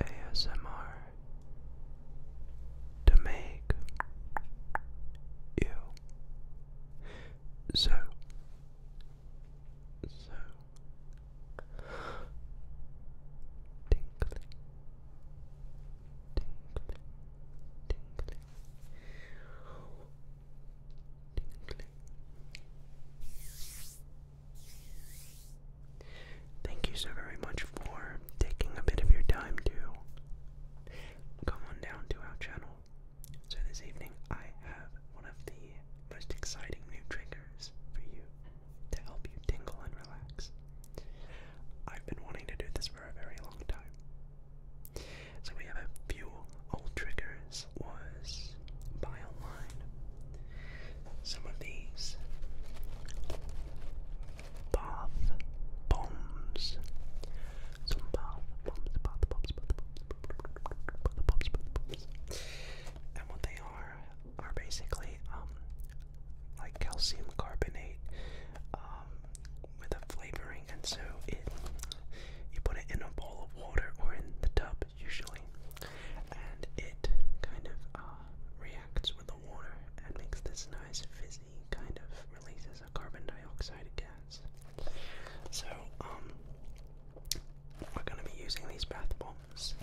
ASMR to make you so so tingly Thank you so very much for taking a bit of your time to come on down to our channel. So, this evening I have one of the most exciting new triggers for you to help you tingle and relax. I've been wanting to do this for a very long time, so we have a few old triggers was buy online. Some of these bath bombs. Some bath bombs, bath bombs, bath bombs, bath bombs. And what they are are basically um, like calcium carbonate, uh, um, with a flavoring, and so it you put it in a bowl of water or in the tub usually, and it kind of uh, reacts with the water and makes this nice fizzy kind of releases a carbon dioxide gas. So um, we're gonna be using these bath bombs.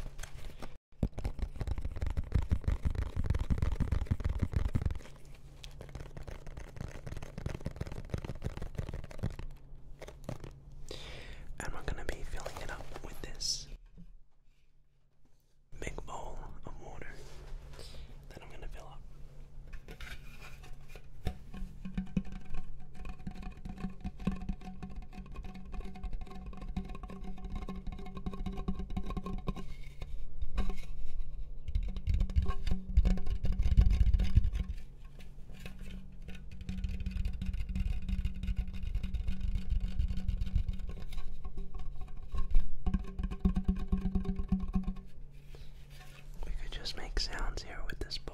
And we're going to be filling it up with this big bowl of water that I'm going to fill up. We could just make sounds here with this bowl.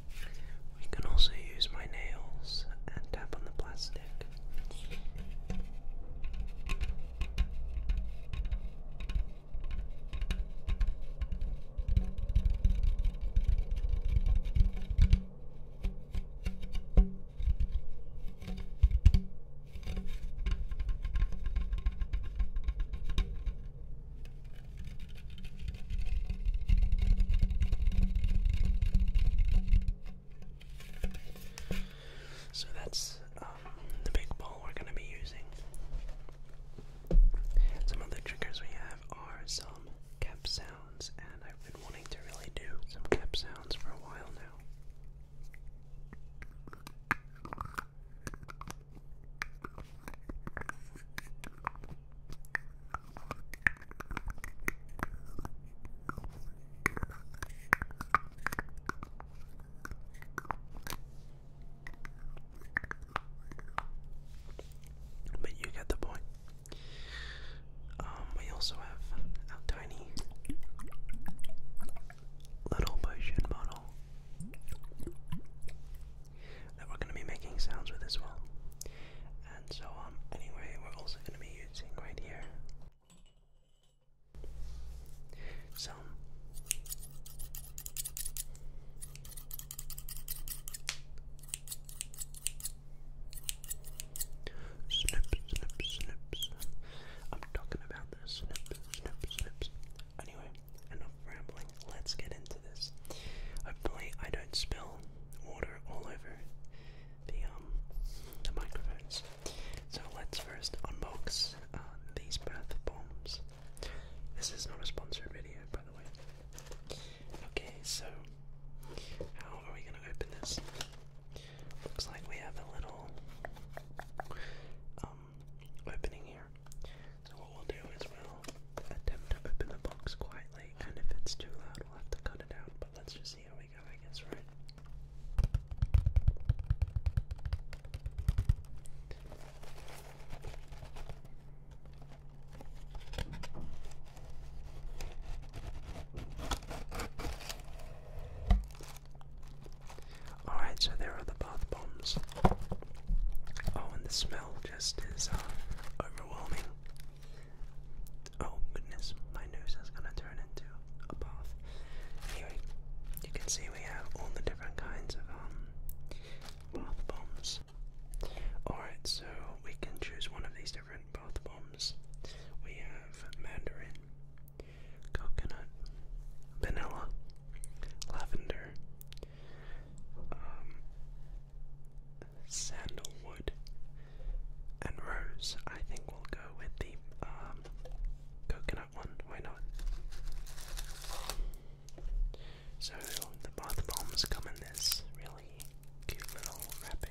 We can also use my nails and tap on the plastic. So that's um, the big ball we're going to be using. Some other triggers we have are some cap sounds, and I've been wanting to really do some cap sounds for a while now. But you get the point. Um, we also have our tiny little potion bottle that we're going to be making sounds with as well and so on. Anyway, we're also going to be using right here So, snip, snip, snips. I'm talking about the snip, snip, snips. Anyway, enough rambling. Let's get into this. Hopefully, I don't spill water all over um, the microphones. So let's first unbox uh, these bath bombs. This is not a sponsored video, by the way. Okay, so how are we gonna open this? Looks like we have a little um, opening here. So what we'll do is we'll attempt to open the box quietly and if it's too loud, we'll have to cut it out. But let's just see how we go, I guess, right? Alright, so there are the bath bombs. Oh, and the smell just is uh, overwhelming. Oh goodness, my nose is gonna turn into a bath. Anyway, you can see we have all the different kinds of um, bath bombs. Alright, so we can choose one of these different bath bombs. We have mandarin, coconut, vanilla, lavender, um, sandalwood, and rose. I think we'll go with the um, coconut one. Why not? So the bath bombs come in this really cute little wrapping.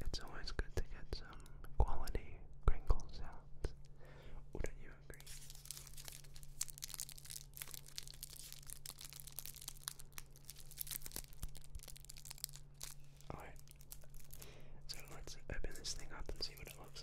It's always good to get some quality crinkle sounds. Wouldn't you agree? Alright, so let's open this thing up and see what it looks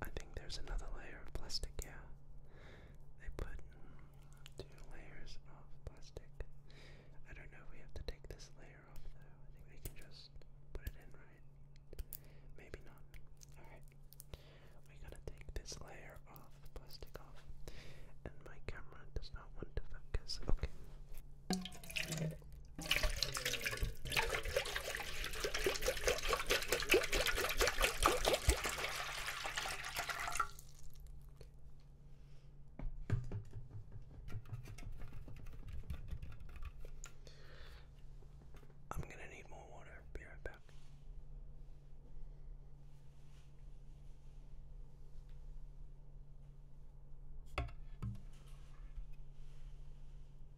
I think there's another layer of plastic, yeah. They put two layers of plastic. I don't know if we have to take this layer off though. I think we can just put it in, right? Maybe not. Alright. We gotta take this layer of plastic off. And my camera does not want to focus. Okay. I'm going to need more water. Be right back.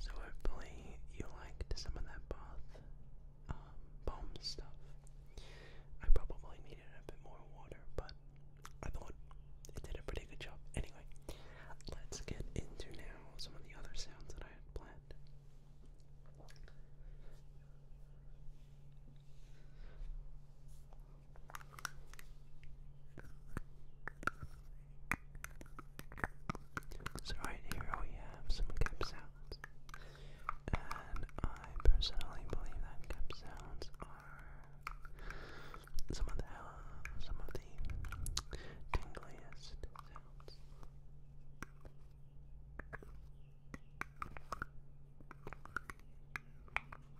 So hopefully you liked some of that bath um, bomb stuff. I probably needed a bit more water, but I thought it did a pretty good job. Anyway, let's get into now some of the other sounds that I had planned. So right here we have some cup sounds, and I personally believe that cup sounds are some of the some of the tingliest sounds.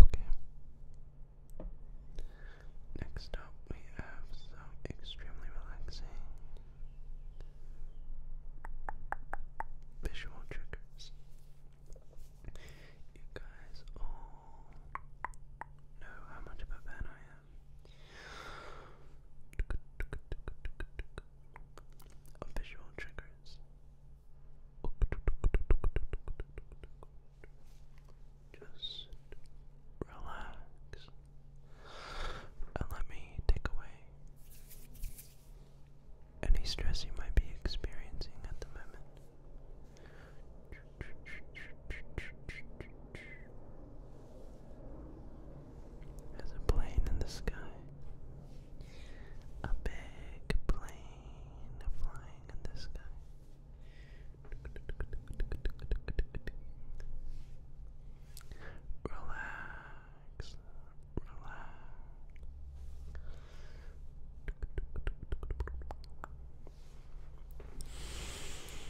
Okay. Next up, we have some extremely relaxing visual triggers. You guys all know how much of a fan I Visual triggers. Just relax and let me take away any stress you might be experiencing at the moment. There's a plane in the sky. A big plane flying in the sky. Relax, relax.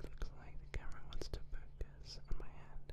It looks like the camera wants to focus on my hand.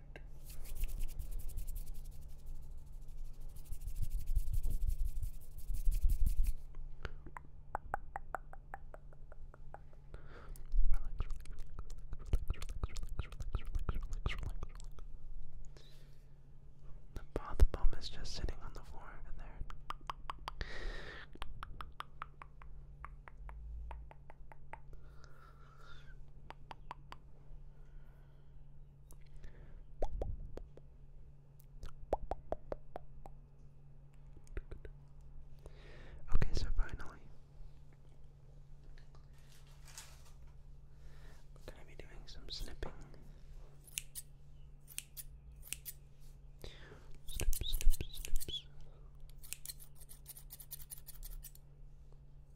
The bath bomb is just sitting on the floor over there. Okay, so finally. going to be doing some snipping.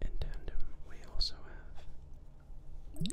In tandem, we also have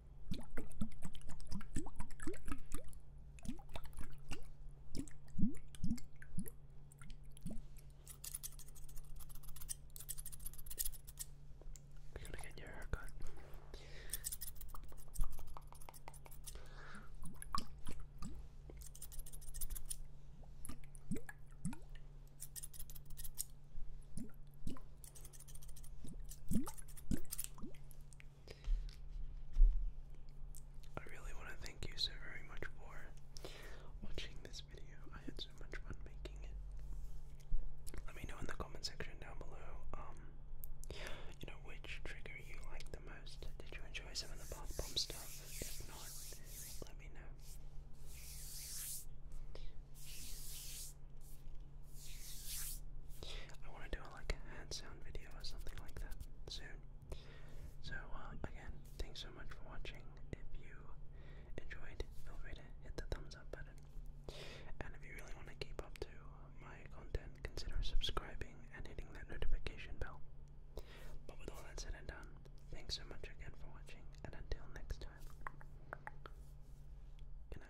You're gonna get your haircut. I really want to thank you so very much for watching this video. I had so much fun making it. Let me know in the comment section down below, um, you know, which trigger you like the most. Did you enjoy some of the bath bomb stuff? If not, let me know. I want to do like a hand sound video or something like that soon. So uh, again, thanks so much for watching. If you enjoyed, feel free to hit the thumbs up button. And if you really want to keep up to my content, consider subscribing and hitting that notification bell. But with all that said and done, thanks so much again for watching, and until next time, good